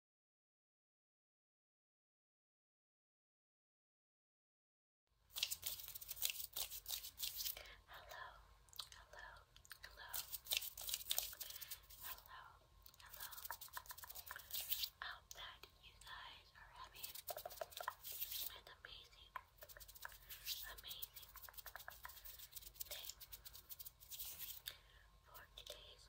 Hello, hello, hello, hello, hello. I hope that you guys are having an amazing, amazing day. For today's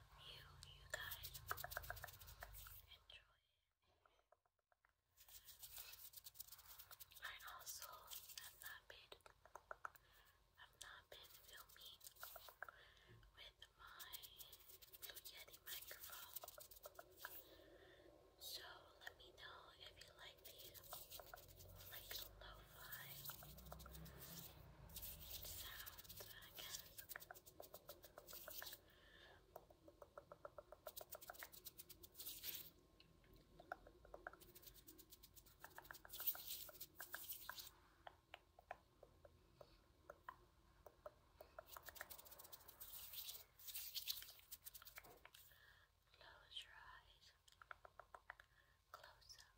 you, you guys enjoy I also have not been, have not been filming with my Yeti microphone. So let me know if you like these, like lo-fi sounds, Close your eyes. Close them.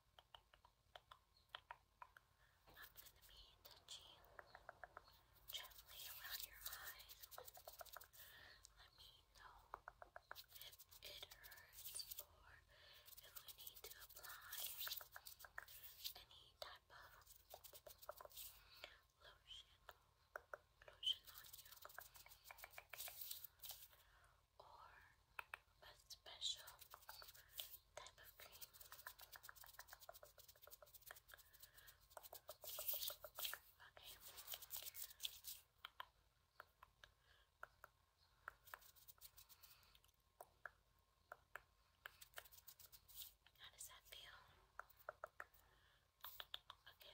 I'm going to be gently around your eyes. Let me know if it hurts or if we need to apply any type of lotion. Lotion on you or a special type of cream. Okay. How does that feel? Okay, Okay.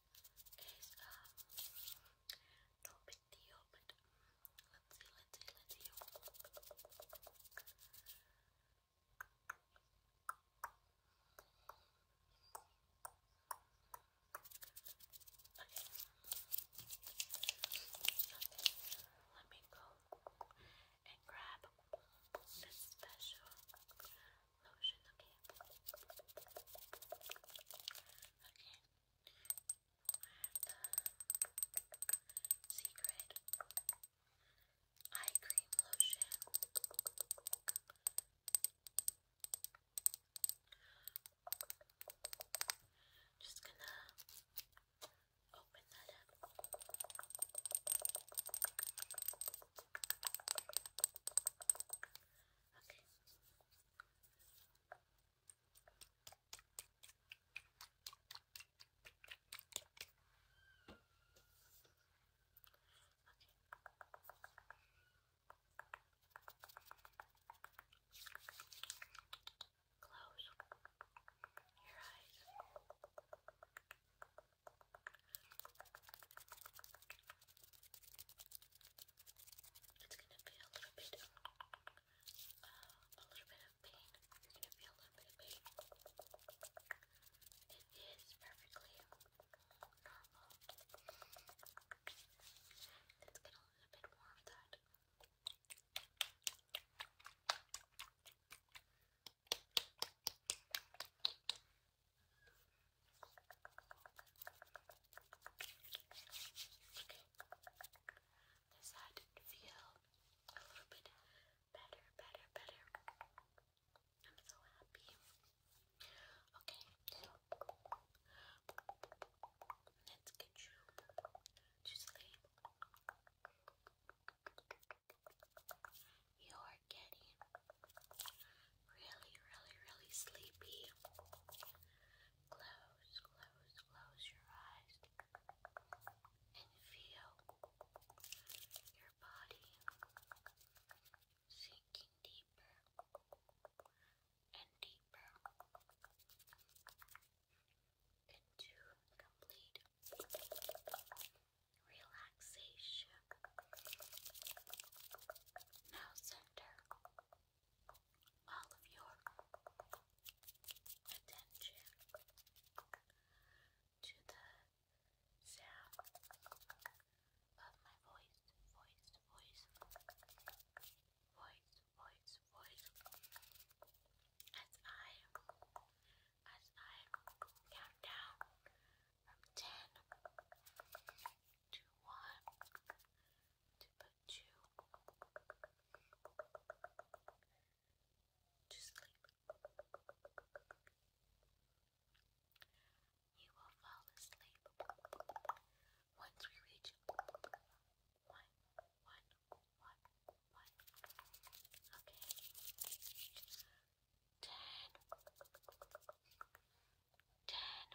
is um no big deal, but um, let's see, let's see, let's see. Let me go and grab this special lotion, okay? Okay. I have the secret eye cream lotion. Just gonna open that up. Okay. Okay. Close your eyes. It's gonna be a little bit, uh, a little bit of pain. You're gonna feel a little bit of pain. It is perfectly normal. Let's get a little bit more of that. Does that feel a little bit better, better, better? I'm so happy. Okay, so let's get you to sleep. You're getting really, really, really sleepy. Close, close, close your eyes and feel your body sinking deeper and deeper into complete relaxation, now center all of your attention to the sound of my voice, voice, voice, voice, voice, voice, as I as I count down from 10 to 1 to put you to sleep. You will fall asleep once we reach 1, 1, one, one. Okay. Ten. Ten.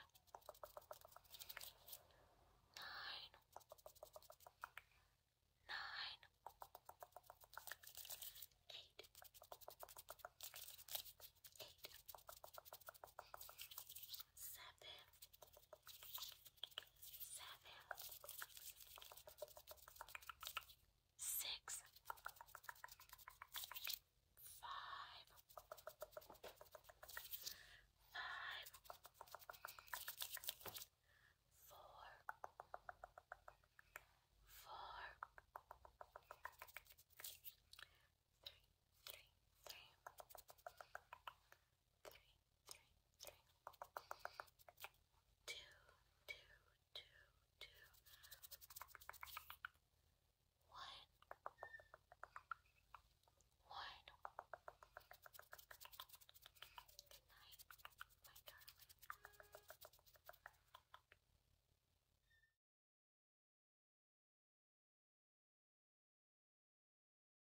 Nine. Nine. Eight. Eight. Seven. Six seven, six, five, five, four, four, three, three, three three, three, three. Two, two, two, two. One, one. Good night, my darling.